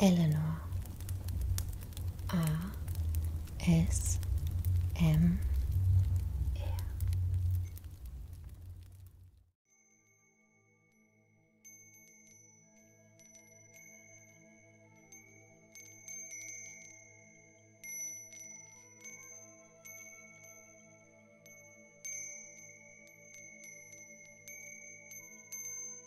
Eleanor R S M -R.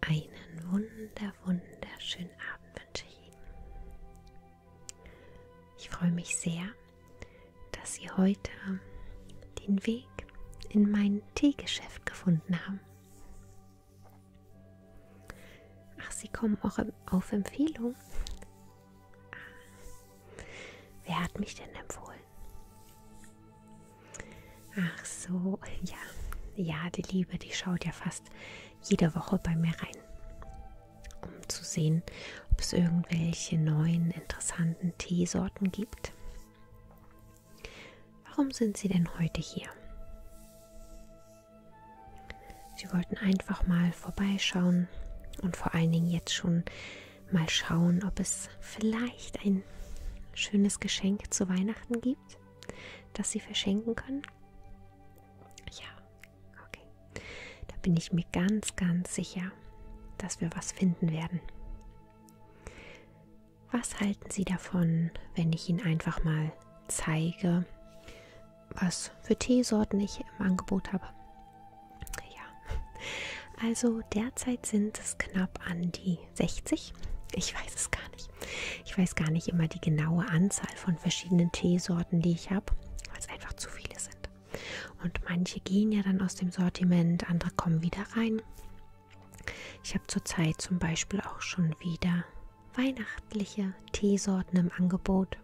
Einen wunder, wunderschönen Abend wünsche ich Ihnen. Ich freue mich sehr, dass Sie heute den Weg in mein Teegeschäft gefunden haben. Ach, Sie kommen auch auf Empfehlung. Ah. Wer hat mich denn empfohlen? Ach so, ja. Ja, die Liebe, die schaut ja fast jede Woche bei mir rein, um zu sehen, ob es irgendwelche neuen interessanten Teesorten gibt. Warum sind Sie denn heute hier? Sie wollten einfach mal vorbeischauen und vor allen Dingen jetzt schon mal schauen, ob es vielleicht ein schönes Geschenk zu Weihnachten gibt, das Sie verschenken können. Ja, okay. Da bin ich mir ganz, ganz sicher, dass wir was finden werden. Was halten Sie davon, wenn ich Ihnen einfach mal zeige, was für Teesorten ich im Angebot habe? Ja, also derzeit sind es knapp an die die 60? Ich weiß es gar nicht. Ich weiß gar nicht immer die genaue Anzahl von verschiedenen Teesorten, die ich habe, weil es einfach zu viele sind. Und manche gehen ja dann aus dem Sortiment, andere kommen wieder rein. Ich habe zurzeit zum Beispiel auch schon wieder weihnachtliche Teesorten im Angebot.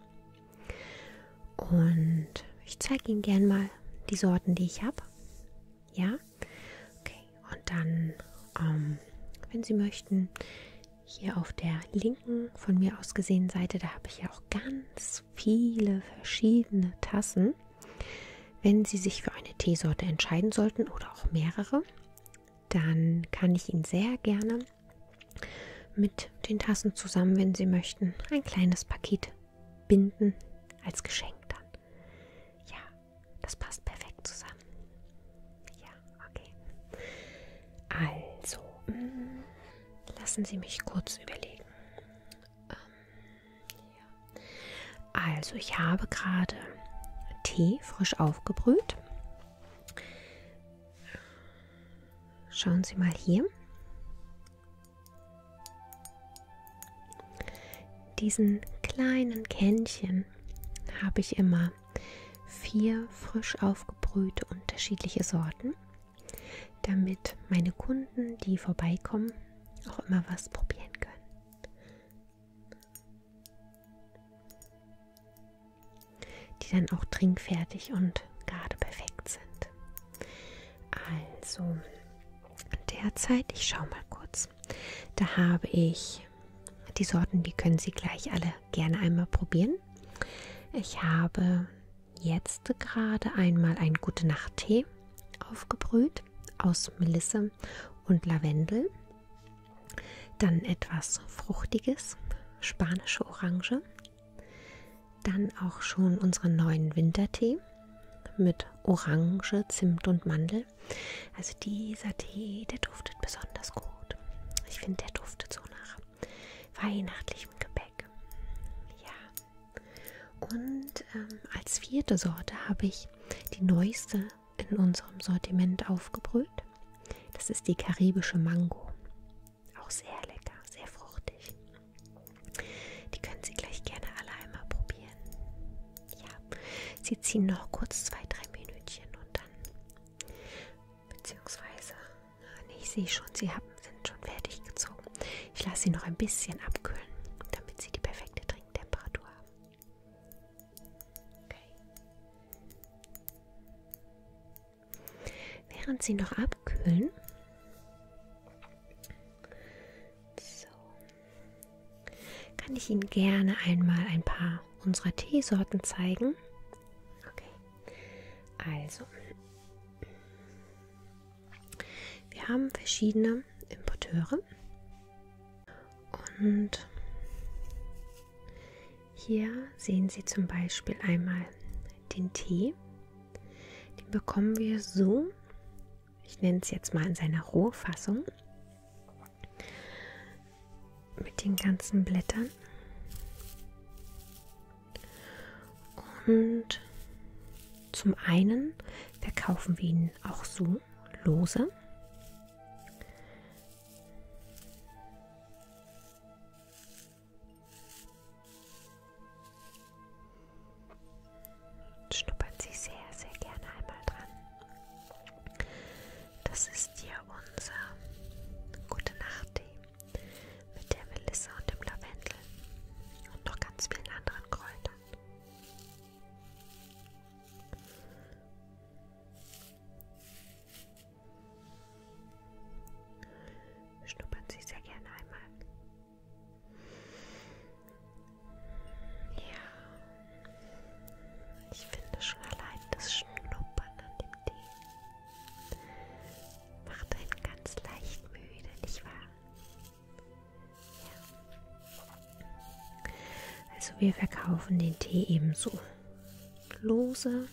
Und ich zeige Ihnen gern mal die Sorten, die ich habe. Ja, Okay, und dann, ähm, wenn Sie möchten, hier auf der linken von mir aus gesehen Seite, da habe ich ja auch ganz viele verschiedene Tassen. Wenn Sie sich für eine Teesorte entscheiden sollten oder auch mehrere, dann kann ich Ihnen sehr gerne mit den Tassen zusammen, wenn Sie möchten, ein kleines Paket binden als Geschenk dann. Ja, das passt perfekt zusammen. Ja, okay. Also, mh, mm, lassen Sie mich kurz überlegen. Ähm, ja. Also, ich habe gerade Tee frisch aufgebrüht. Schauen Sie mal hier. Diesen kleinen Kännchen habe ich immer vier frisch aufgebrühte unterschiedliche Sorten, damit meine Kunden, die vorbeikommen, auch immer was probieren können. Die dann auch trinkfertig und gerade perfekt sind. Also, derzeit, ich schaue mal kurz, da habe ich die Sorten, die können Sie gleich alle gerne einmal probieren. Ich habe jetzt gerade einmal einen Gute Nacht Tee aufgebrüht aus Melisse und Lavendel. Dann etwas Fruchtiges, spanische Orange. Dann auch schon unseren neuen Wintertee mit Orange, Zimt und Mandel. Also dieser Tee, der duftet besonders gut. Ich finde, der duftet so nach weihnachtlichem Gebäck. Ja. Und ähm, als vierte Sorte habe ich die neueste in unserem Sortiment aufgebrüht. Das ist die karibische Mango. Auch sehr lecker, sehr fruchtig. Die können Sie gleich gerne alle einmal probieren. Ja, Sie ziehen noch kurz zwei, drei Minütchen und dann, beziehungsweise, nee, ich sehe schon, Sie haben, sind schon fertig gezogen. Ich lasse Sie noch ein bisschen abkühlen, damit Sie die perfekte Trinktemperatur haben. Okay. Während Sie noch abkühlen, so, kann ich Ihnen gerne einmal ein paar unserer Teesorten zeigen. Okay, also wir haben verschiedene Importeure und hier sehen Sie zum Beispiel einmal den Tee. Den bekommen wir so ich nenne es jetzt mal in seiner Rohfassung, mit den ganzen Blättern. Und zum einen verkaufen wir ihn auch so lose. Schnuppert Sie sehr, sehr gerne einmal dran. Das ist hier unser Gute Nacht-Tee mit der Melisse und dem Lavendel und noch ganz vielen anderen Kräutern. Schnuppern Sie sehr gerne einmal. Ja, ich finde schon allein das Schnuppern an dem Tee macht einen ganz leicht müde, nicht wahr? Ja. Also wir verkaufen den Tee ebenso lose.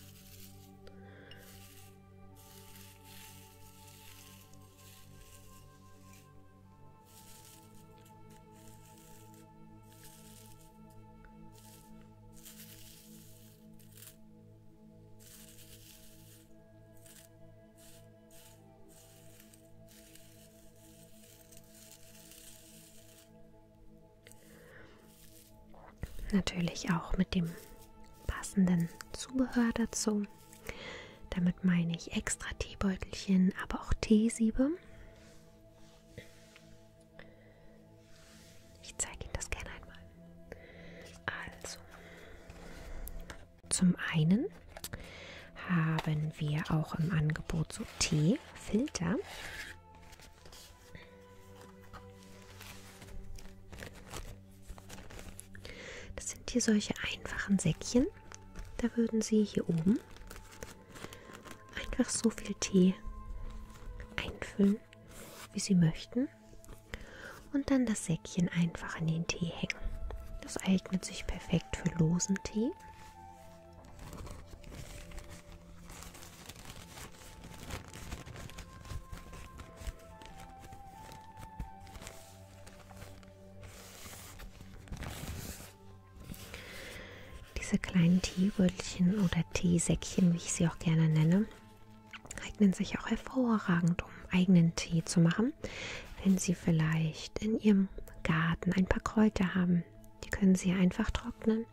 Natürlich auch mit dem passenden Zubehör dazu. Damit meine ich extra Teebeutelchen, aber auch Teesiebe. Ich zeige Ihnen das gerne einmal. Also, zum einen haben wir auch im Angebot so Teefilter. Das sind hier solche einfachen Säckchen da würden sie hier oben einfach so viel Tee einfüllen, wie sie möchten. Und dann das Säckchen einfach an den Tee hängen. Das eignet sich perfekt für losen Tee. Diese kleinen Teeröllchen oder Teesäckchen, wie ich sie auch gerne nenne, eignen sich auch hervorragend, um eigenen Tee zu machen. Wenn Sie vielleicht in Ihrem Garten ein paar Kräuter haben, die können Sie einfach trocknen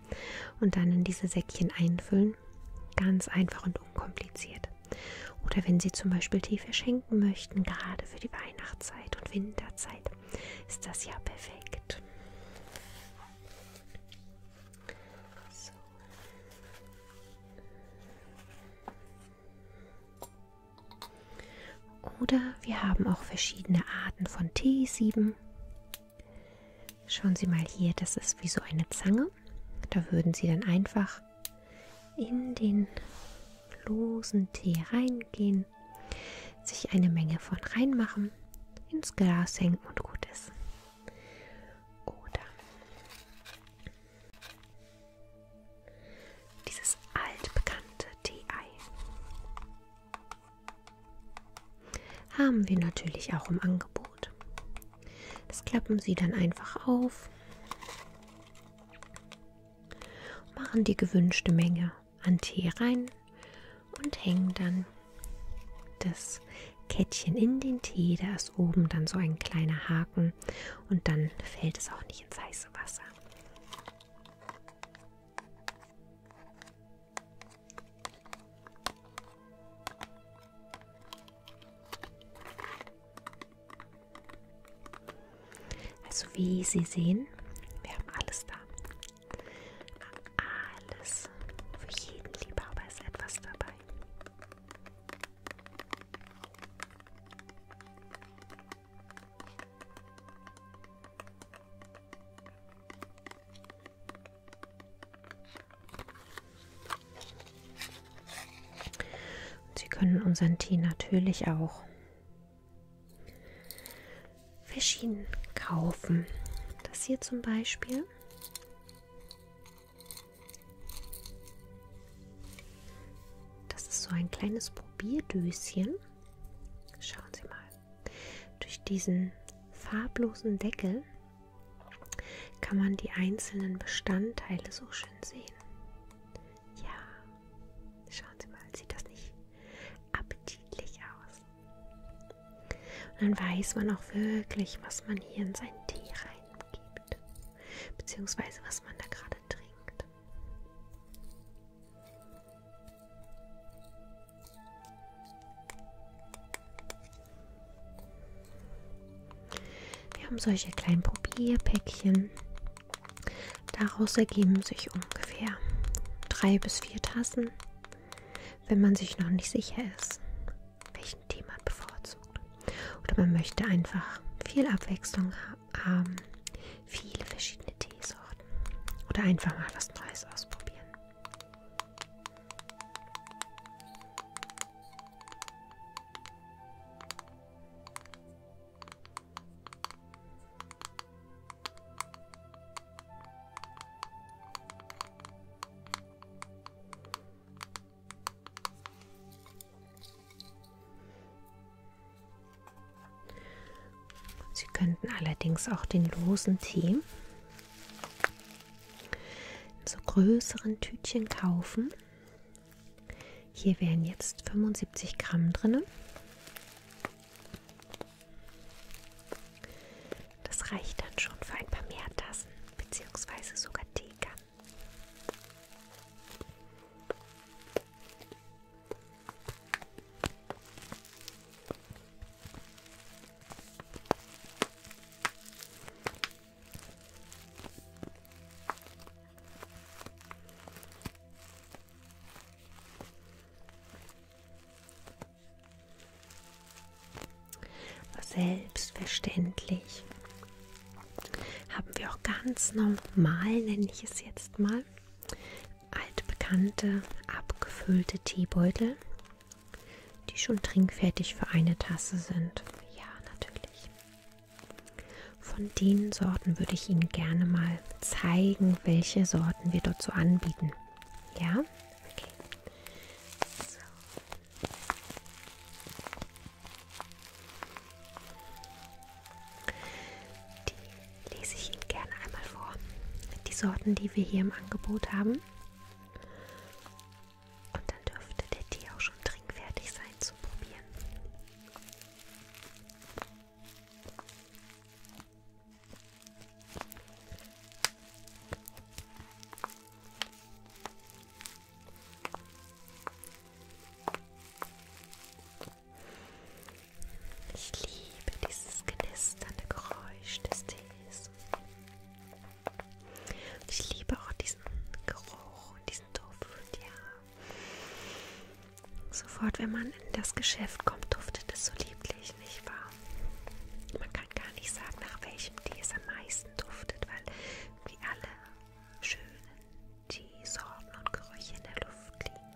und dann in diese Säckchen einfüllen. Ganz einfach und unkompliziert. Oder wenn Sie zum Beispiel Tee verschenken möchten, gerade für die Weihnachtszeit und Winterzeit, ist das ja perfekt. So. Oder wir haben auch verschiedene Arten von Teesieben. Schauen Sie mal hier, das ist wie so eine Zange. Da würden Sie dann einfach in den losen Tee reingehen, sich eine Menge von reinmachen, ins Glas hängen und gut ist. Oder dieses altbekannte Tee-Ei haben wir natürlich auch im Angebot. Das klappen Sie dann einfach auf machen die gewünschte Menge an Tee rein und hängen dann das Kettchen in den Tee. Da ist oben dann so ein kleiner Haken und dann fällt es auch nicht ins heiße Wasser. Also wie Sie sehen, wir haben alles da. Alles. Für jeden Liebhaber ist etwas dabei. Und Sie können unseren Tee natürlich auch verschieden kaufen. Das hier zum Beispiel. Das ist so ein kleines Probierdöschen. Schauen Sie mal. Durch diesen farblosen Deckel kann man die einzelnen Bestandteile so schön sehen. Ja, schauen Sie mal, sieht das nicht appetitlich aus? Und dann weiß man auch wirklich, was man hier in seinen Tee reingibt, beziehungsweise was man da gerade trinkt. Wir haben solche kleinen Probierpäckchen. Daraus ergeben sich ungefähr drei bis vier Tassen, wenn man sich noch nicht sicher ist, welchen Tee man bevorzugt. Oder man möchte einfach viel Abwechslung haben, viele verschiedene Teesorten. Oder einfach mal was Neues ausprobieren. Sie könnten allerdings auch den losen Tee in so größeren Tütchen kaufen hier wären jetzt 75 Gramm drin. Das reicht dann schon für ein paar mehr Tassen bzw. sogar Teekannen. Selbstverständlich haben wir auch ganz normal, nenne ich es jetzt mal, altbekannte abgefüllte Teebeutel, die schon trinkfertig für eine Tasse sind. Ja, natürlich. Von den Sorten würde ich Ihnen gerne mal zeigen, welche Sorten wir dort so anbieten. Ja? Okay. So. Die lese ich Ihnen gerne einmal vor. Die Sorten, die wir hier im Angebot haben. Und dann dürfte der Tee auch schon trinkfertig sein zu probieren. Ich liebe dieses knisternde Geräusch des Tees. Ich liebe auch diesen Geruch und diesen Duft, ja. Sofort, wenn man in das Geschäft kommt, duftet es so lieblich, nicht wahr? Man kann gar nicht sagen, nach welchem Tee es am meisten duftet, weil wie alle schönen Teesorten und Gerüche in der Luft liegen.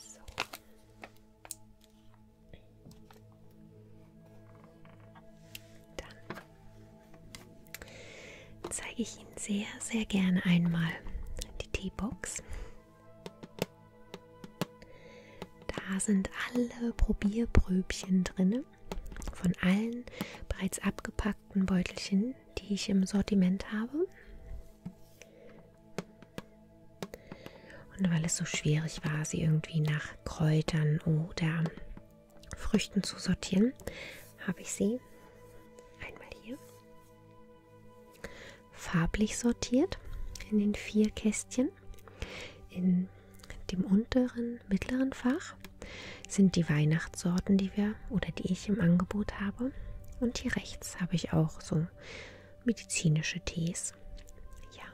So. Dann zeige ich Ihnen sehr, sehr gerne einmal die Teebox. Da sind alle Probierpröbchen drin von allen bereits abgepackten Beutelchen, die ich im Sortiment habe. Und weil es so schwierig war, sie irgendwie nach Kräutern oder Früchten zu sortieren, habe ich sie einmal hier farblich sortiert in den vier Kästchen in dem unteren, mittleren Fach sind die Weihnachtssorten, die wir oder die ich im Angebot habe. Und hier rechts habe ich auch so medizinische Tees. Ja.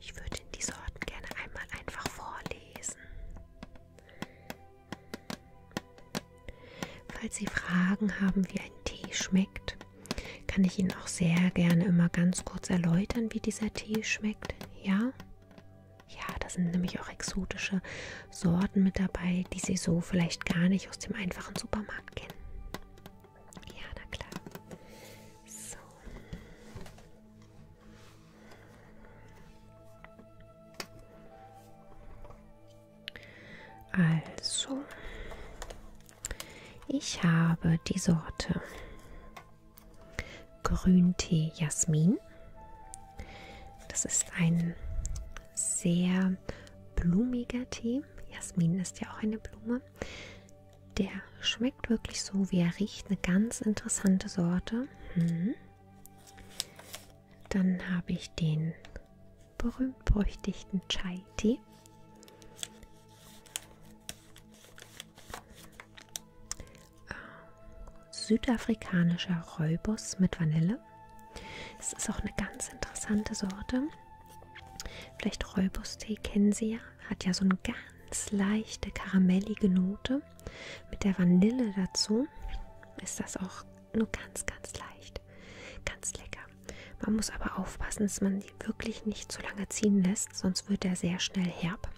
Ich würde die Sorten gerne einmal einfach vorlesen. Falls Sie Fragen haben, wie ein Tee schmeckt, kann ich Ihnen auch sehr gerne immer ganz kurz erläutern, wie dieser Tee schmeckt. Ja? Ja, da sind nämlich auch exotische Sorten mit dabei, die Sie so vielleicht gar nicht aus dem einfachen Supermarkt kennen. Ja, na klar. So. Also, ich habe die Sorte Grüntee Jasmin. Das ist ein sehr blumiger Tee. Jasmin ist ja auch eine Blume. Der schmeckt wirklich so, wie er riecht. Eine ganz interessante Sorte. Hm. Dann habe ich den berühmt-berüchtigten Chai-Tee. Ähm, südafrikanischer Räubus mit Vanille. Es ist auch eine ganz interessante Sorte. Vielleicht Räubus-Tee kennen Sie ja. Hat ja so eine ganz leichte karamellige Note. Mit der Vanille dazu ist das auch nur ganz, ganz leicht. Ganz lecker. Man muss aber aufpassen, dass man die wirklich nicht zu lange ziehen lässt, sonst wird er sehr schnell herb.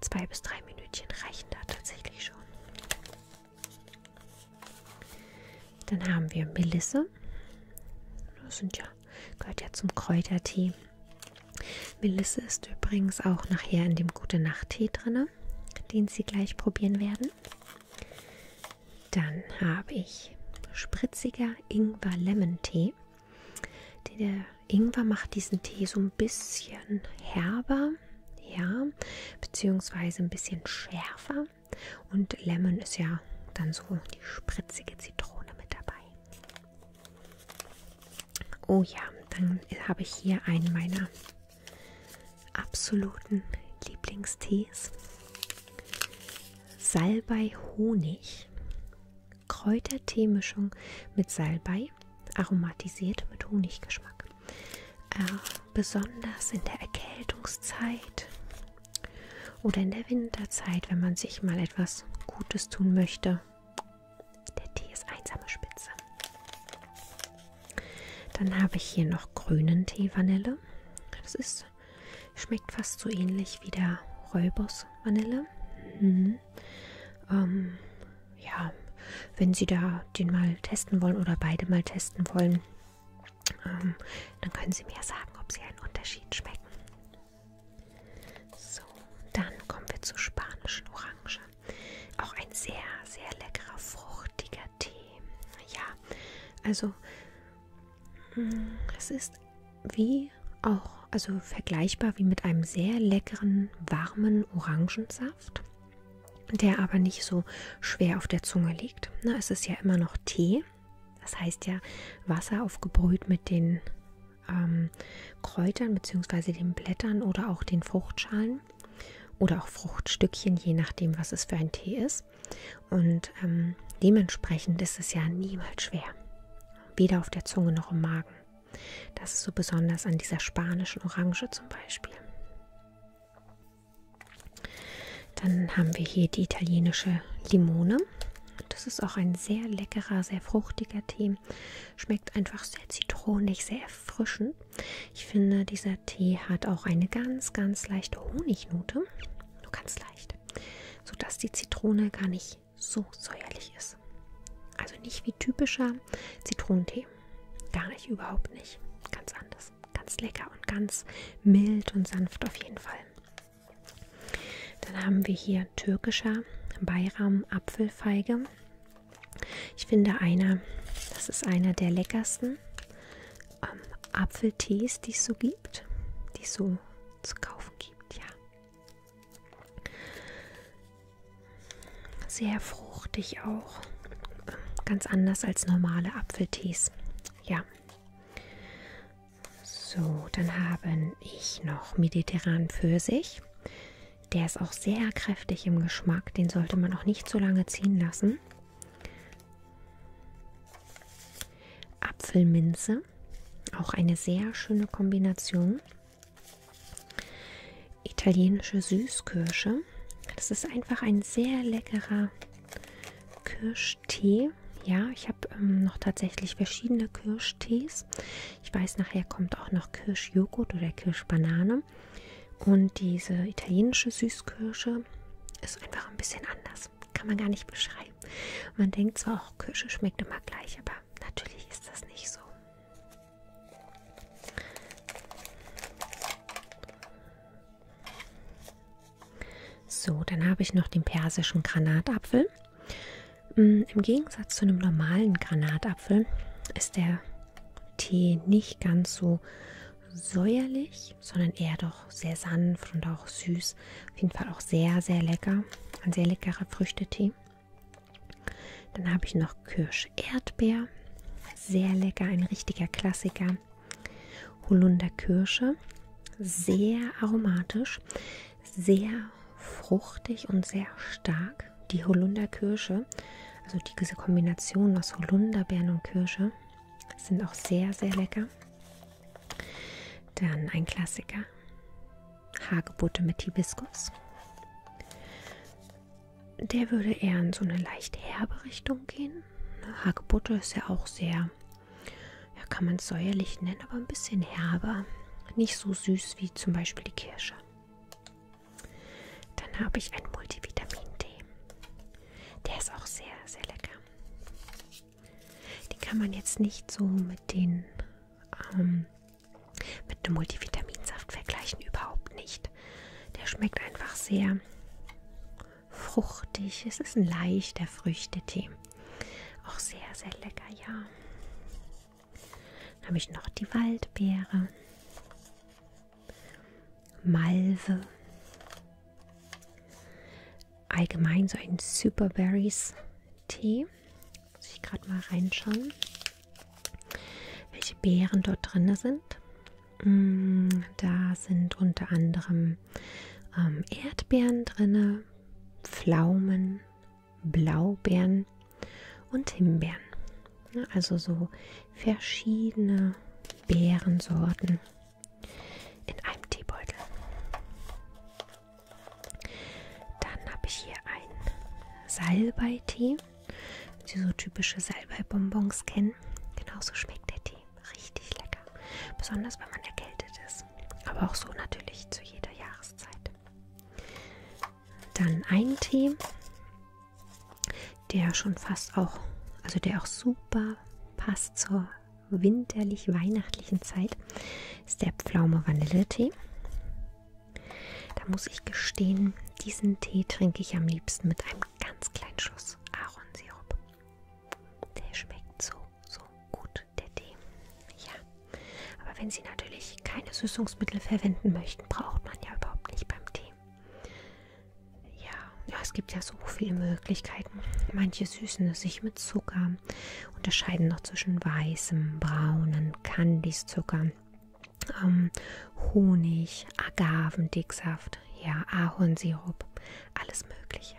Zwei bis drei Minütchen reichen da tatsächlich schon. Dann haben wir Melisse. Das sind ja, gehört ja zum Kräutertee. Melisse ist übrigens auch nachher in dem Gute-Nacht-Tee drin, den Sie gleich probieren werden. Dann habe ich spritziger Ingwer-Lemon-Tee. Der Ingwer macht diesen Tee so ein bisschen herber, ja, beziehungsweise ein bisschen schärfer. Und Lemon ist ja dann so die spritzige Zitrone mit dabei. Oh ja, dann habe ich hier einen meiner absoluten Lieblingstees. Salbei Honig, Kräuterteemischung mit Salbei, aromatisiert mit Honiggeschmack. Äh, besonders in der Erkältungszeit oder in der Winterzeit, wenn man sich mal etwas Gutes tun möchte. Der Tee ist einsame Spitze. Dann habe ich hier noch grünen Tee Vanille. Das ist, schmeckt fast so ähnlich wie der Räubers Vanille. Mhm. Ähm, ja, wenn Sie da den mal testen wollen oder beide mal testen wollen, ähm, dann können Sie mir sagen, ob Sie einen Unterschied schmecken. So, dann kommen wir zur spanischen Orange. Auch ein sehr, sehr leckerer, fruchtiger Tee. Ja, also mm, es ist wie auch, also vergleichbar wie mit einem sehr leckeren, warmen Orangensaft, der aber nicht so schwer auf der Zunge liegt. Na, es ist ja immer noch Tee. Das heißt ja Wasser aufgebrüht mit den ähm, Kräutern bzw. den Blättern oder auch den Fruchtschalen oder auch Fruchtstückchen, je nachdem, was es für ein Tee ist ist. Und ähm, dementsprechend ist es ja niemals schwer. Weder auf der Zunge noch im Magen. Das ist so besonders an dieser spanischen Orange zum Beispiel. Dann haben wir hier die italienische Limone. Das ist auch ein sehr leckerer, sehr fruchtiger Tee. Schmeckt einfach sehr zitronig, sehr erfrischend. Ich finde, dieser Tee hat auch eine ganz, ganz leichte Honignote. Nur ganz leicht. Sodass die Zitrone gar nicht so säuerlich ist. Also nicht wie typischer Zitronentee. Gar nicht, überhaupt nicht. Ganz anders. Ganz lecker und ganz mild und sanft auf jeden Fall. Dann haben wir hier türkischer Bayram Apfelfeige. Ich finde einer, das ist einer der leckersten ähm, Apfeltees, die es so gibt, die es so zu kaufen gibt, ja. Sehr fruchtig auch. Ähm, ganz anders als normale Apfeltees. Ja. So, dann haben ich noch mediterranen Pfirsich. Der ist auch sehr kräftig im Geschmack. Den sollte man auch nicht zu lange ziehen lassen. Apfelminze, auch eine sehr schöne Kombination. Italienische Süßkirsche. Das ist einfach ein sehr leckerer Kirschtee. Ja, ich habe ähm, noch tatsächlich verschiedene Kirschtees. Ich weiß, nachher kommt auch noch Kirschjoghurt oder Kirschbanane. Und diese italienische Süßkirsche ist einfach ein bisschen anders. Kann man gar nicht beschreiben. Man denkt zwar auch, Kirsche schmeckt immer gleich, aber natürlich ist das nicht so. So, dann habe ich noch den persischen Granatapfel. Mm, Im Gegensatz zu einem normalen Granatapfel ist der Tee nicht ganz so säuerlich, sondern eher doch sehr sanft und auch süß. Auf jeden Fall auch sehr, sehr lecker. Ein sehr leckerer Früchtetee. Dann habe ich noch Kirsch-Erdbeer. Sehr lecker, ein richtiger Klassiker. Holunderkirsche. Sehr aromatisch, sehr fruchtig und sehr stark. Die Holunderkirsche, also diese Kombination aus Holunderbeeren und Kirsche, sind auch sehr, sehr lecker. Dann ein Klassiker. Hagebutte mit Hibiskus. Der würde eher in so eine leicht herbe Richtung gehen. Hagebutte ist ja auch sehr, ja, kann man es säuerlich nennen, aber ein bisschen herber. Nicht so süß wie zum Beispiel die Kirsche. Dann habe ich einen Multivitamin-Tee. Der ist auch sehr, sehr lecker. Die kann man jetzt nicht so mit den ähm, mit einem Multivitaminsaft vergleichen, überhaupt nicht. Der schmeckt einfach sehr fruchtig. Es ist ein leichter Früchtetee. Auch sehr, sehr lecker, ja. Dann habe ich noch die Waldbeere. Malve. Allgemein so ein Superberries Tee. Muss ich gerade mal reinschauen, welche Beeren dort drin sind. Mm, da sind unter anderem ähm, Erdbeeren drin, Pflaumen, Blaubeeren und Himbeeren. Also so verschiedene Beerensorten in einem Teebeutel. Dann habe ich hier einen Salbeitee, wenn Sie so typische Salbeibonbons kennen. Genauso schmeckt der Tee. Richtig lecker. Besonders wenn man erkältet ist. Aber auch so natürlich zu jeder Jahreszeit. Dann ein Tee der schon fast auch, also der auch super passt zur winterlich-weihnachtlichen Zeit, ist der Pflaume Vanilletee. Da muss ich gestehen, diesen Tee trinke ich am liebsten mit einem ganz kleinen Schuss Ahornsirup. Der schmeckt so, so gut, der Tee. Ja, aber wenn Sie natürlich keine Süßungsmittel verwenden möchten, braucht man ja überhaupt nicht beim Tee. Ja, ja, es gibt ja so viele Möglichkeiten. Manche süßen es sich mit Zucker, unterscheiden noch zwischen weißem, braunen, Candice-Zucker, ähm, Honig, Agavendicksaft, ja, Ahornsirup, alles Mögliche.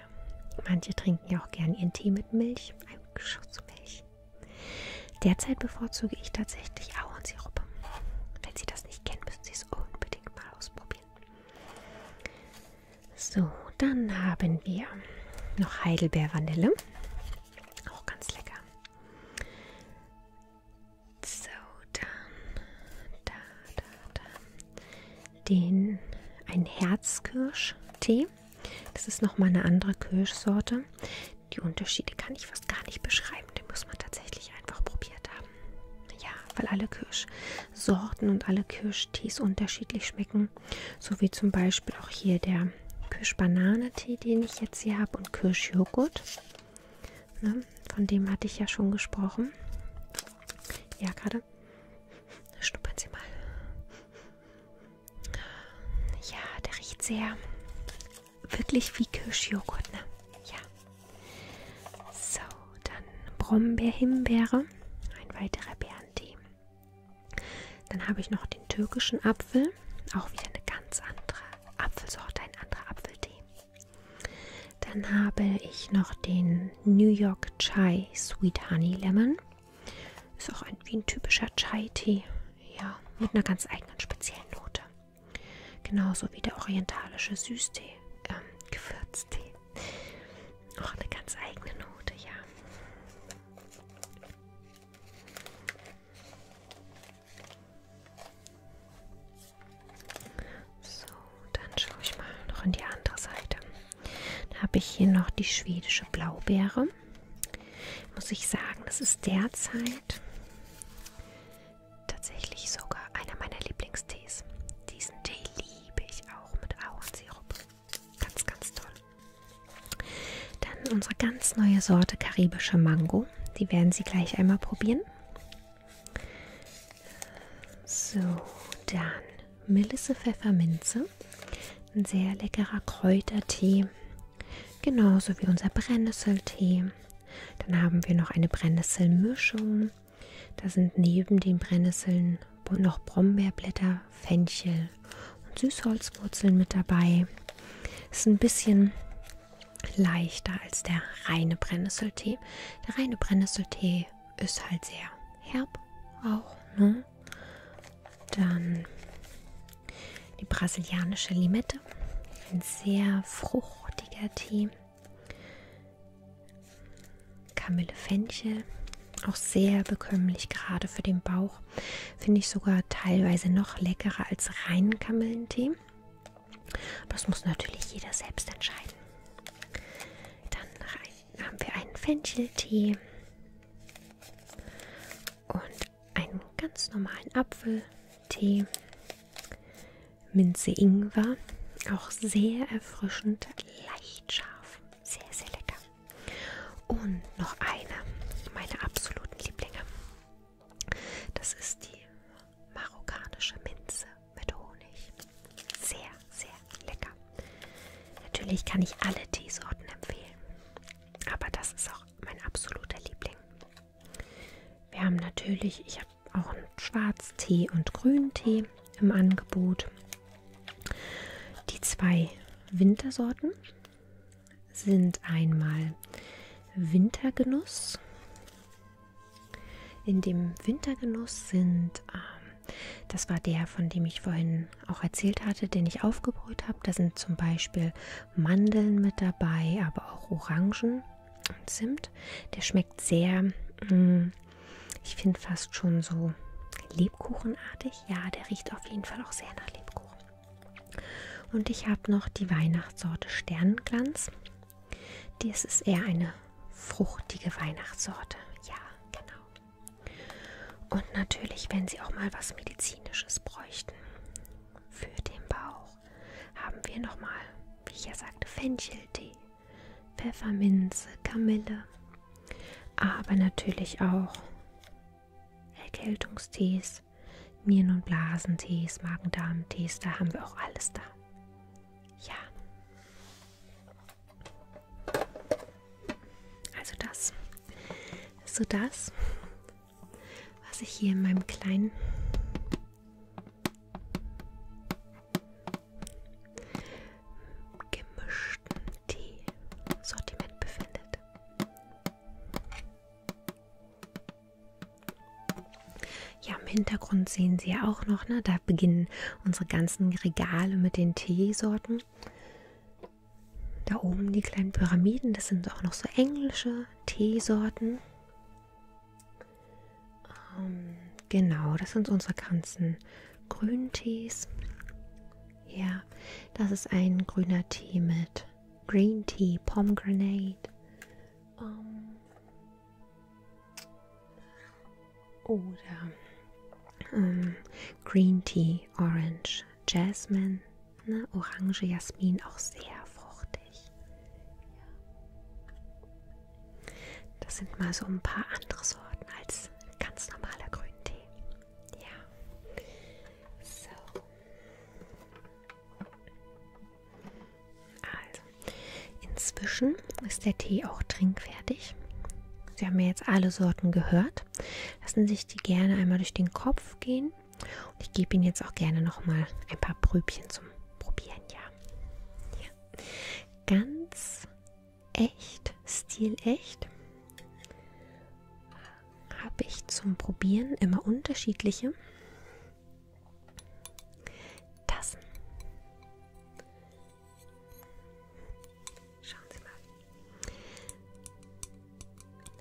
Manche trinken ja auch gern ihren Tee mit Milch, ein Schuss Milch. Derzeit bevorzuge ich tatsächlich Ahornsirup. Wenn Sie das nicht kennen, müssen Sie es unbedingt mal ausprobieren. So, dann haben wir noch Heidelbeer-Vanille. Auch ganz lecker. So, dann da, da, da. Den, ein Herzkirsch-Tee. Das ist nochmal eine andere Kirschsorte. Die Unterschiede kann ich fast gar nicht beschreiben. Den muss man tatsächlich einfach probiert haben haben. Ja, weil alle Kirschsorten und alle Kirschtees unterschiedlich schmecken. So wie zum Beispiel auch hier der Kirschbanane-Tee, den ich jetzt hier habe, und Kirschjoghurt. Ne? Von dem hatte ich ja schon gesprochen. Ja, gerade. Schnuppern Sie mal. Ja, der riecht sehr wirklich wie Kirschjoghurt, ne? Ja, so, dann Brombeer-Himbeere, ein weiterer Bärentee. Dann habe ich noch den türkischen Apfel, auch wieder eine ganz andere Apfelsorte, ein anderer Apfeltee. Dann habe ich noch den New York Chai Sweet Honey Lemon. Ist auch ein, wie ein typischer Chai-Tee, ja, mit einer ganz eigenen speziellen Note. Genauso wie der orientalische Süßtee, ähm, Gewürztee. Auch eine ganz eigene Note, ja. So, dann schaue ich mal noch in die andere Seite. Da habe ich hier noch die schwedische Blaubeere. Muss ich sagen, das ist derzeit tatsächlich sogar einer meiner Lieblingstees. Diesen Tee liebe ich auch mit Ahornsirup. Ganz, ganz toll. Dann unsere ganz neue Sorte karibische Mango. Die werden Sie gleich einmal probieren. So, dann Melisse Pfefferminze. Ein sehr leckerer Kräutertee. Genauso wie unser Brennnesseltee. Dann haben wir noch eine Brennnesselmischung haben. Da sind neben den Brennnesseln noch Brombeerblätter, Fenchel und Süßholzwurzeln mit dabei. Ist ein bisschen leichter als der reine Brennnesseltee. Der reine Brennnesseltee ist halt sehr herb auch. Ne? Dann die brasilianische Limette. Ein sehr fruchtiger Tee. Kamille Fenchel, auch sehr bekömmlich, gerade für den Bauch. Finde ich sogar teilweise noch leckerer als reinen Kamillentee. Das muss natürlich jeder selbst entscheiden. Dann haben wir einen Fencheltee und einen ganz normalen Apfeltee. Minze Ingwer. Auch sehr erfrischend, leicht scharf. Sehr, sehr lecker. Und noch eine meiner absoluten Lieblinge. Das ist die marokkanische Minze mit Honig. Sehr, sehr lecker. Natürlich kann ich alle Teesorten empfehlen, aber das ist auch mein absoluter Liebling. Wir haben natürlich, ich habe auch einen Schwarztee und Grüntee im Angebot. Die zwei Wintersorten sind einmal Wintergenuss. In dem Wintergenuss sind, ähm, das war der, von dem ich vorhin auch erzählt hatte, den ich aufgebrüht habe. Da sind zum Beispiel Mandeln mit dabei, aber auch Orangen und Zimt. Der schmeckt sehr, mh, mm, ich finde fast schon so Lebkuchenartig. Ja, der riecht auf jeden Fall auch sehr nach Lebkuchen. Und ich habe noch die Weihnachtssorte Sternenglanz. Das ist eher eine fruchtige Weihnachtssorte. Ja, genau. Und natürlich, wenn Sie auch mal was Medizinisches bräuchten. Für den Bauch auch haben wir nochmal, wie ich ja sagte, Fencheltee, Pfefferminze, Kamille, aber natürlich auch Erkältungstees, Nieren- und Blasentees, Magen-Darm-Tees, da haben wir auch alles da. Ja. Also das. So das, was ich hier in meinem kleinen gemischten Tee-Sortiment befindet. Ja, im Hintergrund sehen Sie ja auch noch, ne? da beginnen unsere ganzen Regale mit den Teesorten. Da oben die kleinen Pyramiden, das sind auch noch so englische Teesorten. Ähm, genau, das sind unsere ganzen Grüntees. Ja, das ist ein grüner Tee mit Green Tea, Pomegranate. Ähm, oder ähm, Green Tea, Orange, Jasmine, ne, Orange, Jasmin, auch sehr fruchtig dich. Ja. Das sind mal so ein paar andere Sorten als ganz normaler Grüntee. Ja. So. Also, inzwischen ist der Tee auch trinkfertig. Sie haben ja jetzt alle Sorten gehört. Lassen sich die gerne einmal durch den Kopf gehen. Und ich gebe Ihnen jetzt auch gerne noch mal ein paar Prübchen zum Probieren, ja? Ja. Ganz echt, stilecht. Habe ich zum Probieren immer unterschiedliche Tassen. Schauen Sie mal.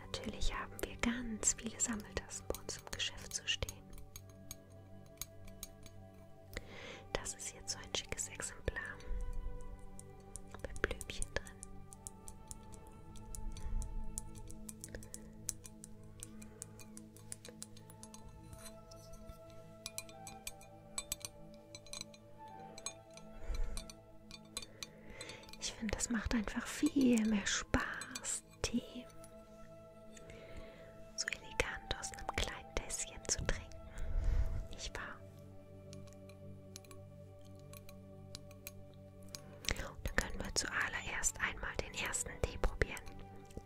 Natürlich haben wir ganz viele Sammeltassen bei uns im Geschäft zu stehen. Das ist jetzt so ein schickes Exemplar mit Blümchen drin. Ich finde, das macht einfach viel mehr Spaß. Tee. So elegant aus einem kleinen Tässchen zu trinken, nicht wahr? Und dann können wir zuallererst einmal den ersten Tee probieren.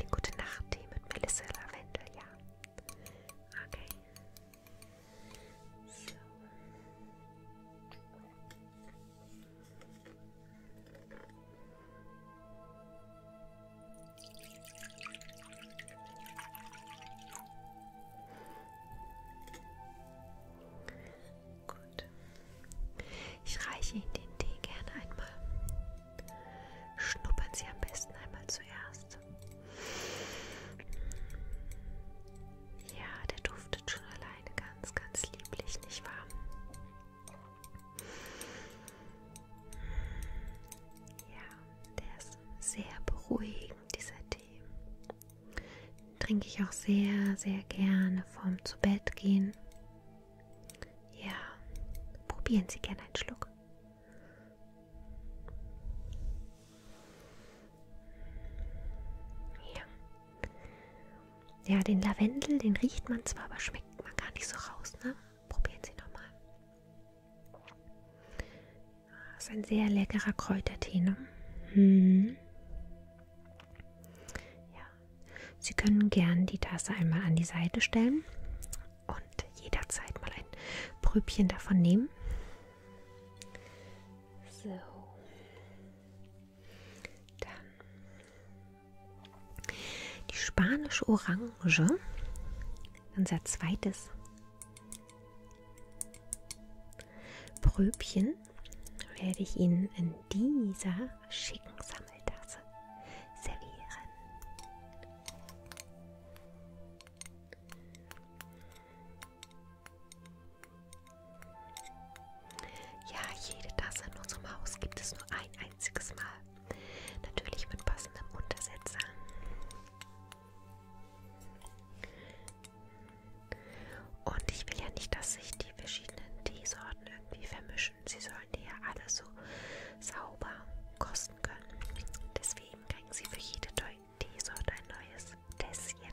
Den Gute Nacht Tee mit Melissa Lavendel, ja. Okay. So. Gut. Ich reiche Ihnen den Tee gerne einmal. Schnuppern Sie am besten einmal zuerst. Ja, der duftet schon alleine ganz, ganz lieblich, nicht wahr? Ja, der ist sehr beruhigend, dieser Tee. Den trinke ich auch sehr, sehr gerne vorm zu Bett gehen. Ja, probieren Sie gerne einen Schluck. Ja. Ja, den Lavendel, den riecht man zwar, aber schmeckt man gar nicht so raus, ne? Probieren Sie nochmal. Das ist ein sehr leckerer Kräutertee, ne? Hm. Ja. Sie können gern die Tasse einmal an die Seite stellen und jederzeit mal ein Prübchen davon nehmen. So. Dann die spanische Orange, unser zweites Pröbchen, werde ich Ihnen in dieser schicken Sammeltasse servieren. Ja, jede Tasse in unserem Haus gibt es nur ein einziges Mal. Natürlich mit passendem Untersetzer. Und ich will ja nicht, dass sich die verschiedenen Teesorten irgendwie vermischen. Sie sollen die ja alle so sauber kosten können. Deswegen kriegen sie für jede Teesorte ein neues Tässchen.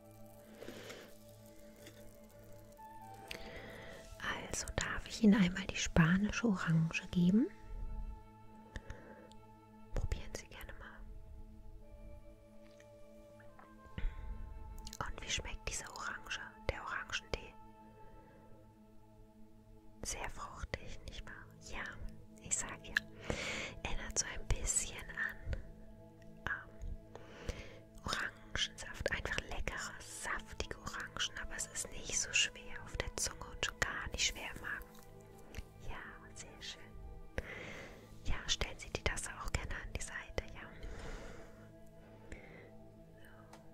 Also darf ich Ihnen einmal die spanische Orange geben. Probieren Sie gerne mal. Und wie schmeckt diese Orange, der Orangentee? Sehr fruchtig, nicht wahr? Ja, ich sage ja. Erinnert so ein bisschen an ähm, Orangensaft. Einfach leckere, saftige Orangen, aber es ist nicht so schwer auf der Zunge und schon gar nicht schwer im Magen. Ja, sehr schön. Ja, stellen Sie die Tasse auch gerne an die Seite, ja. So.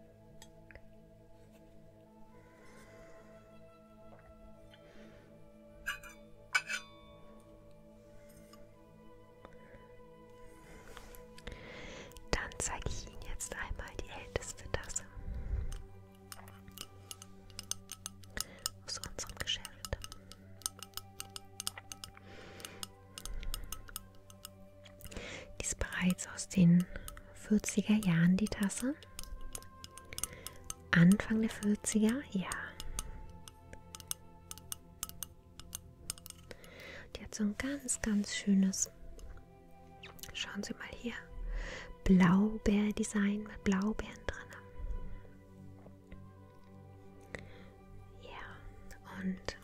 Dann zeige ich Ihnen jetzt einmal die älteste Tasse aus unserem Geschäft. Die ist bereits aus den 40er Jahren die Tasse. Anfang der 40er, ja. Die hat so ein ganz, ganz schönes, schauen Sie mal hier, Blaubeer-Design mit Blaubeeren drin. Ja, und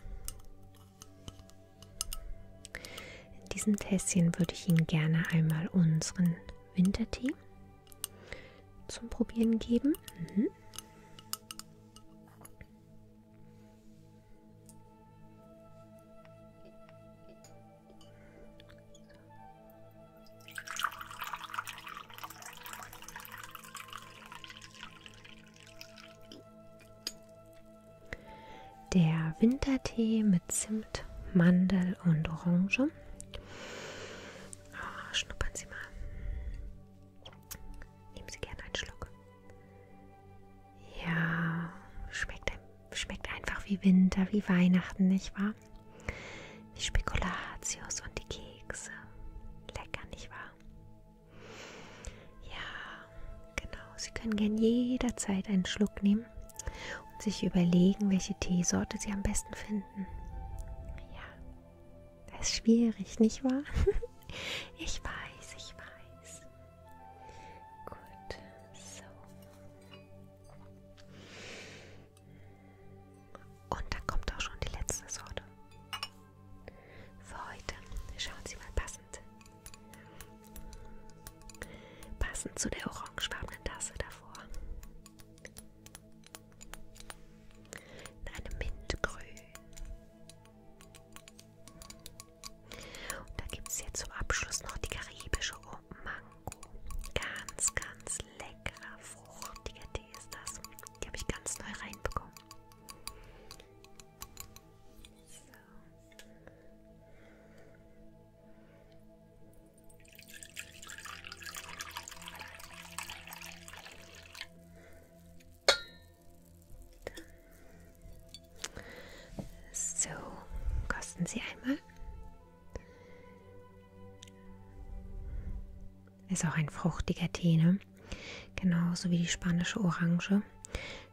in diesem Tässchen würde ich Ihnen gerne einmal unseren Wintertee zum Probieren geben. Mhm. Der Wintertee mit Zimt, Mandel und Orange. Oh, schnuppern Sie mal. Nehmen Sie gerne einen Schluck. Ja, schmeckt, schmeckt einfach wie Winter, wie Weihnachten, nicht wahr? Die Spekulatius und die Kekse. Lecker, nicht wahr? Ja, genau. Sie können gern jederzeit einen Schluck nehmen und sich überlegen, welche Teesorte Sie am besten finden. Ja, das ist schwierig, nicht wahr? ich weiß, ich weiß. Gut, so. Und dann kommt auch schon die letzte Sorte. Für heute schauen Sie mal passend. Passend zu der orangefarbenen Tasse davor in einem Mintgrün. Und da gibt es hier zum Abschluss noch die karibische Mango. Ganz, ganz leckerer, fruchtiger Tee ist das. Die habe ich ganz neu reinbekommen. So. So, kosten Sie einmal. Ist auch ein fruchtiger Tee, ne? Genauso wie die spanische Orange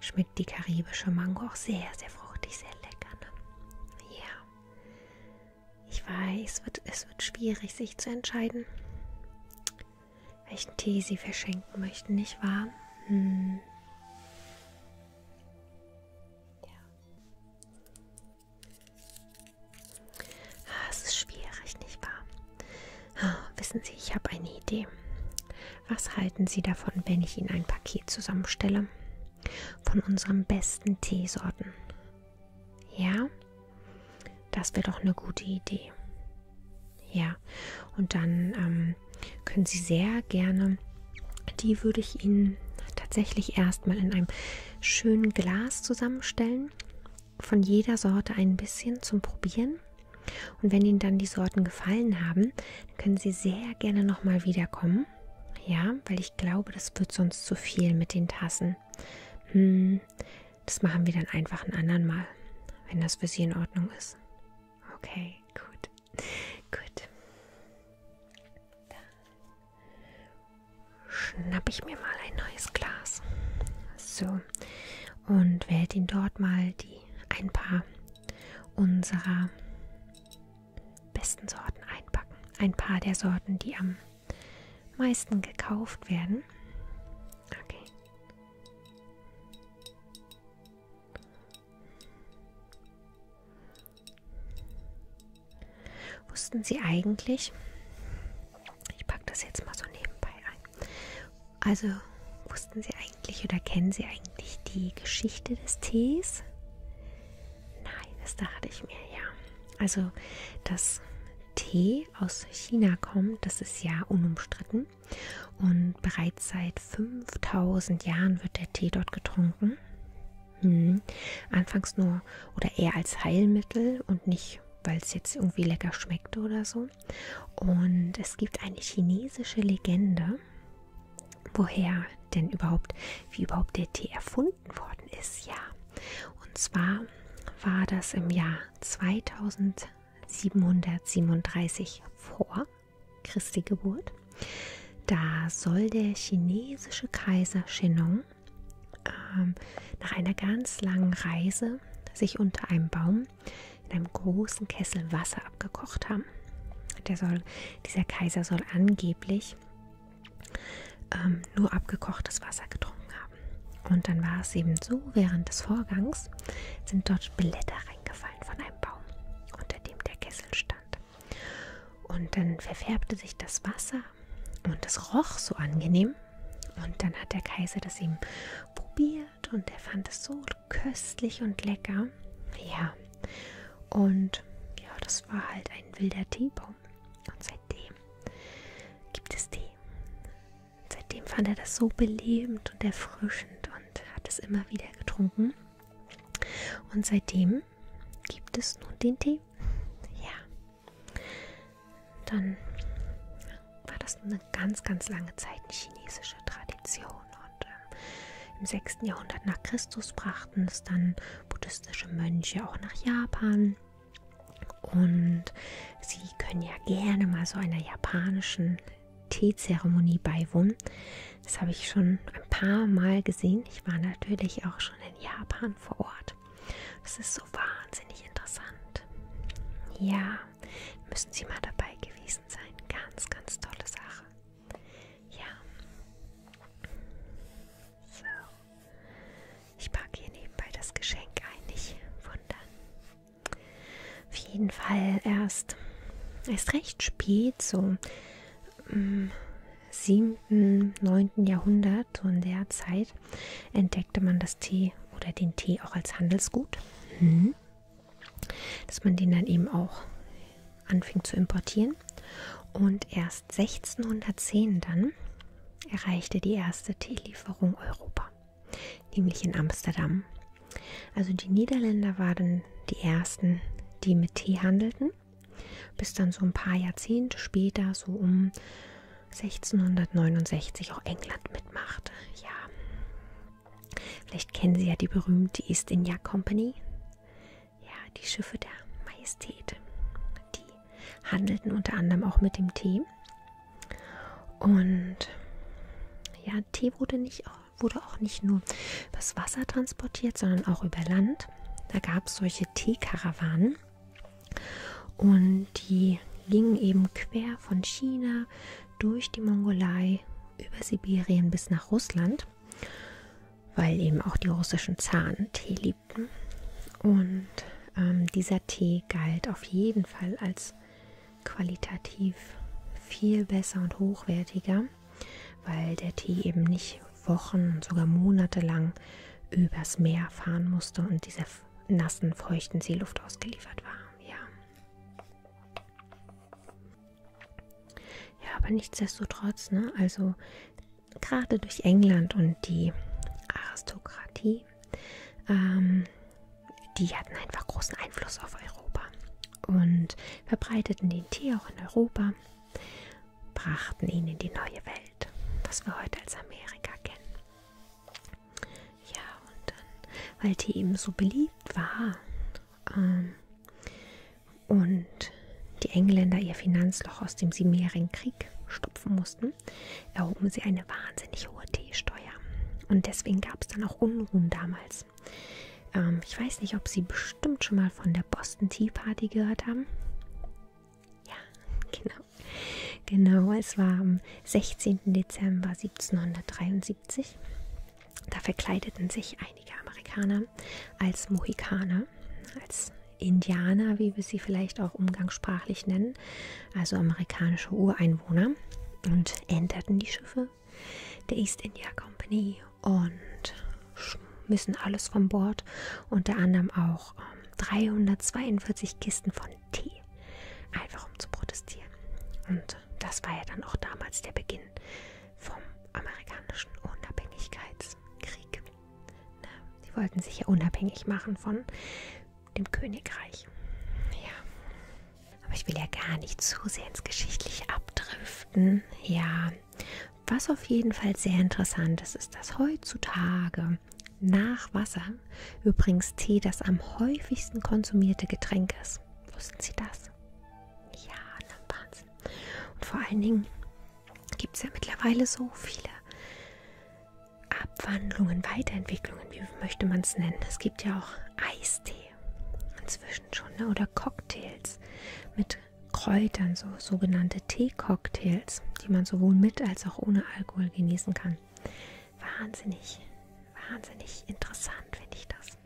schmeckt die karibische Mango auch sehr, sehr fruchtig, sehr lecker. Ne? Ja. Ich weiß, wird, es wird schwierig, sich zu entscheiden, welchen Tee sie verschenken möchten, nicht wahr? Hm. Ja. Ah, es ist schwierig, nicht wahr? Ah, wissen Sie, ich habe eine Idee. Was halten Sie davon, wenn ich Ihnen ein Paket zusammenstelle? Von unseren besten Teesorten. Ja, das wäre doch eine gute Idee. Ja, und dann ähm, können Sie sehr gerne, die würde ich Ihnen tatsächlich erstmal in einem schönen Glas zusammenstellen. Von jeder Sorte ein bisschen zum Probieren. Und wenn Ihnen dann die Sorten gefallen haben, können Sie sehr gerne nochmal wiederkommen. Ja, weil ich glaube, das wird sonst zu viel mit den Tassen. Hm, das machen wir dann einfach ein anderen Mal, wenn das für Sie in Ordnung ist. Okay, gut. Gut. Dann schnappe ich mir mal ein neues Glas. So. Und werde Ihnen dort mal die ein paar unserer besten Sorten einpacken. Ein paar der Sorten, die am meisten gekauft werden. Okay. Wussten Sie eigentlich? Ich packe das jetzt mal so nebenbei ein. Also wussten Sie eigentlich oder kennen Sie eigentlich die Geschichte des Tees? Nein, das dachte ich mir ja. Also das Tee Chili aus China kommt, das ist ja unumstritten. Und bereits seit 5000 Jahren wird der Tee dort getrunken. Hm. Anfangs nur oder eher als Heilmittel und nicht, weil es jetzt irgendwie lecker schmeckte oder so. Und es gibt eine chinesische Legende, woher denn überhaupt, wie überhaupt der Tee erfunden erfunden worden ist, ja. Und zwar war das im Jahr 2737 vor Christi Geburt. Da soll der chinesische Kaiser Shenong ähm, nach einer ganz langen Reise sich unter einem Baum in einem großen Kessel Wasser abgekocht haben. Der soll, dieser Kaiser soll angeblich ähm, nur abgekochtes Wasser getrunken haben. Und dann war es eben so, während des Vorgangs sind dort Blätter reingefallen von einem Baum, unter dem der Kessel stand. Und dann verfärbte sich das Wasser und es roch so angenehm. Und dann hat der Kaiser das eben probiert und er fand es so köstlich und lecker. Ja, und ja, das war halt ein wilder Teebeutel gekommen. Und seitdem gibt es die. Seitdem fand er das so belebend und erfrischend und hat es immer wieder getrunken. Und seitdem gibt es nun den Tee. Ja. Dann war das eine ganz, ganz lange Zeit eine chinesische Tradition. Und ähm, im 6. Jahrhundert nach Christus brachten es dann buddhistische Mönche auch nach Japan. Und Sie können ja gerne mal so einer japanischen Teezeremonie beiwohnen. Das habe ich schon ein paar Mal gesehen. Ich war natürlich auch schon in Japan vor Ort. Das ist so wahnsinnig interessant. Ja, müssen Sie mal dabei gewesen sein. Ganz, ganz tolle Sache. Ja. So. Ich packe hier nebenbei das Geschenk ein, nicht wundern. Auf jeden Fall erst, erst recht spät, so im 7., 9. Jahrhundert, so in der Zeit, entdeckte man das Tee oder den Tee auch als Handelsgut. Mhm. Dass man den dann eben auch anfing zu importieren. Und erst 1610 dann erreichte die erste Teelieferung Europa, nämlich in Amsterdam. Also die Niederländer waren die ersten, die mit Tee handelten, bis dann so ein paar Jahrzehnte später, so um 1669, auch England mitmachte. Ja, vielleicht kennen Sie ja die berühmte East India Company, ja, die Schiffe der Majestät. Die handelten unter anderem auch mit dem Tee. Und ja, Tee wurde, nicht, wurde auch nicht nur übers Wasser transportiert, sondern auch über Land. Da gab es solche Teekarawanen und die gingen eben quer von China durch die Mongolei über Sibirien bis nach Russland, weil eben auch die russischen Zaren Tee Ägypten und ähm, dieser Tee galt auf jeden Fall als qualitativ viel besser und hochwertiger, weil der Tee eben nicht Wochen, sogar Monate lang übers Meer fahren musste und dieser nassen, feuchten Seeluft ausgeliefert war. Ja. Ja, aber nichtsdestotrotz, ne? Also gerade durch England und die Aristokratie, ähm, die hatten einfach großen Einfluss auf Europa und verbreiteten den Tee auch in Europa, brachten ihn in die neue Welt, was wir heute als Amerika kennen. Ja, und dann, weil Tee eben so beliebt war ähm, und die Engländer ihr Finanzloch aus dem Siebenjährigen Krieg stopfen mussten, erhoben sie eine wahnsinnig hohe Teesteuer. Und deswegen gab es dann auch Unruhen damals. Ähm, ich weiß nicht, ob Sie bestimmt schon mal von der Boston Tea Party gehört haben. Ja, genau. Genau, es war am 16. Dezember 1773. Da verkleideten sich einige Amerikaner als Mohikaner, als Indianer, wie wir sie vielleicht auch umgangssprachlich nennen, also amerikanische Ureinwohner, und änderten die Schiffe der East India Company und müssen alles von Bord, unter anderem auch 342 ähm, Kisten von Tee, einfach um zu protestieren. Und das war ja dann auch damals der Beginn vom amerikanischen Unabhängigkeitskrieg. Sie wollten sich ja unabhängig machen von dem Königreich. Ja. Aber ich will ja gar nicht zu sehr ins Geschichtliche abdriften. Ja. Was auf jeden Fall sehr interessant ist, ist, dass heutzutage nach Wasser übrigens Tee das am häufigsten konsumierte Getränk ist. Wussten Sie das? Ja, na Wahnsinn. Und vor allen Dingen gibt es ja mittlerweile so viele Abwandlungen, Weiterentwicklungen, wie möchte man es nennen? Es gibt ja auch Eistee inzwischen schon ne? oder Cocktails mit Kräutern, so sogenannte Teecocktails, die man sowohl mit als auch ohne Alkohol genießen kann. Wahnsinnig, wahnsinnig interessant finde ich das.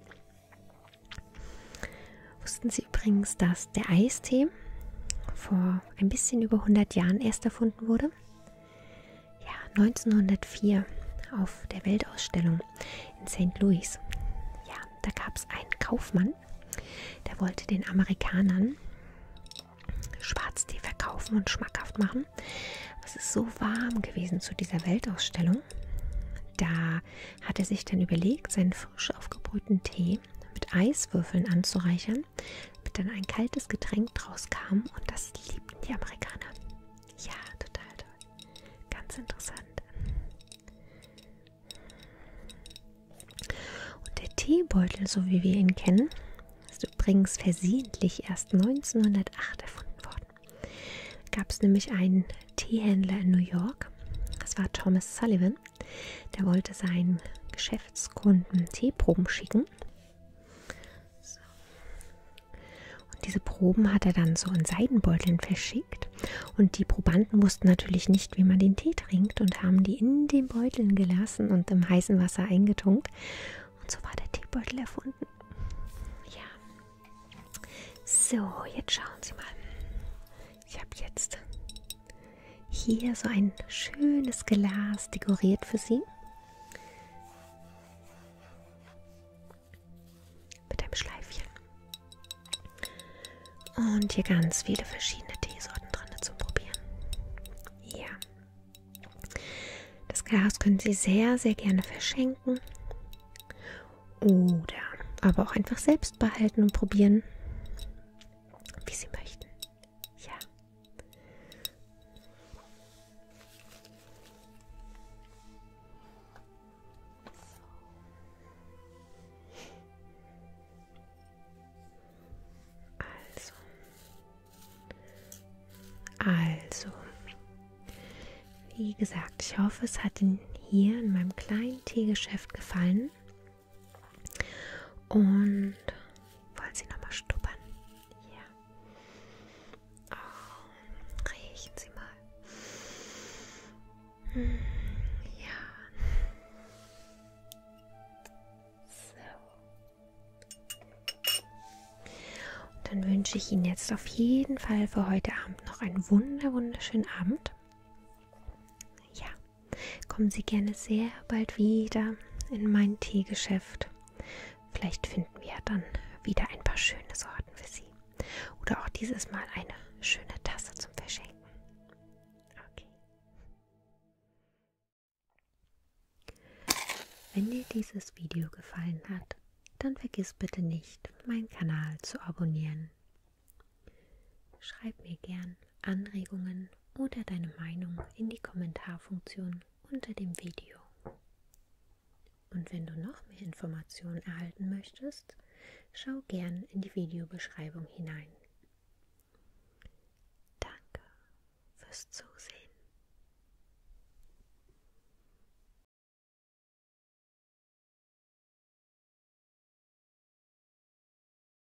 Wussten Sie übrigens, dass der Eistee vor vor ein bisschen über 100 Jahren erst erfunden wurde. Ja, 1904 auf der Weltausstellung in St. Louis. Ja, da gab es einen Kaufmann, der wollte den Amerikanern Schwarztee verkaufen und schmackhaft machen. Es ist so warm gewesen zu dieser Weltausstellung. Da hat er sich dann überlegt, seinen frisch aufgebrühten Tee mit Eiswürfeln anzureichern mit dann ein kaltes Getränk draus kam und das liebten die Amerikaner. Ja, total toll. Ganz interessant. Und der Teebeutel, so wie wir ihn kennen, ist übrigens versehentlich erst 1908 erfunden worden. Gab es nämlich einen Teehändler in New York, das war Thomas Sullivan, der wollte seinen Geschäftskunden Teeproben schicken. So. Und diese Proben hat er dann so in Seidenbeuteln verschickt. Und die Probanden wussten natürlich nicht, wie man den Tee trinkt und haben die in den Beuteln gelassen und im heißen Wasser eingetunkt. Und so war der Teebeutel erfunden. Ja. So, jetzt schauen Sie mal. Ich habe jetzt hier so ein schönes Glas dekoriert für Sie. Mit einem Schleifchen. Und hier ganz viele verschiedene Teesorten drin zum Probieren. Ja. Das Glas können Sie sehr, sehr gerne verschenken. Oder aber auch einfach selbst behalten und probieren, wie Sie möchten. Ja. Also. Also. Wie gesagt, ich hoffe, es hat Ihnen hier in meinem kleinen Teegeschäft gefallen. Und wollen Sie nochmal schnuppern? Ja. Oh, riechen Sie mal. Hm, ja. So. Und dann wünsche ich Ihnen jetzt auf jeden Fall für heute Abend noch einen wunder wunderschönen Abend. Ja, Kommen Sie gerne sehr bald wieder in mein Teegeschäft. Vielleicht finden wir dann wieder ein paar schöne Sorten für Sie. Oder auch dieses Mal eine schöne Tasse zum Verschenken. Okay. Wenn dir dieses Video gefallen hat, dann vergiss bitte nicht, meinen Kanal zu abonnieren. Schreib mir gern, Anregungen oder deine Meinung in die Kommentarfunktion unter dem Video. Und wenn du noch mehr Informationen erhalten möchtest, schau gern in die Videobeschreibung hinein. Danke fürs Zusehen.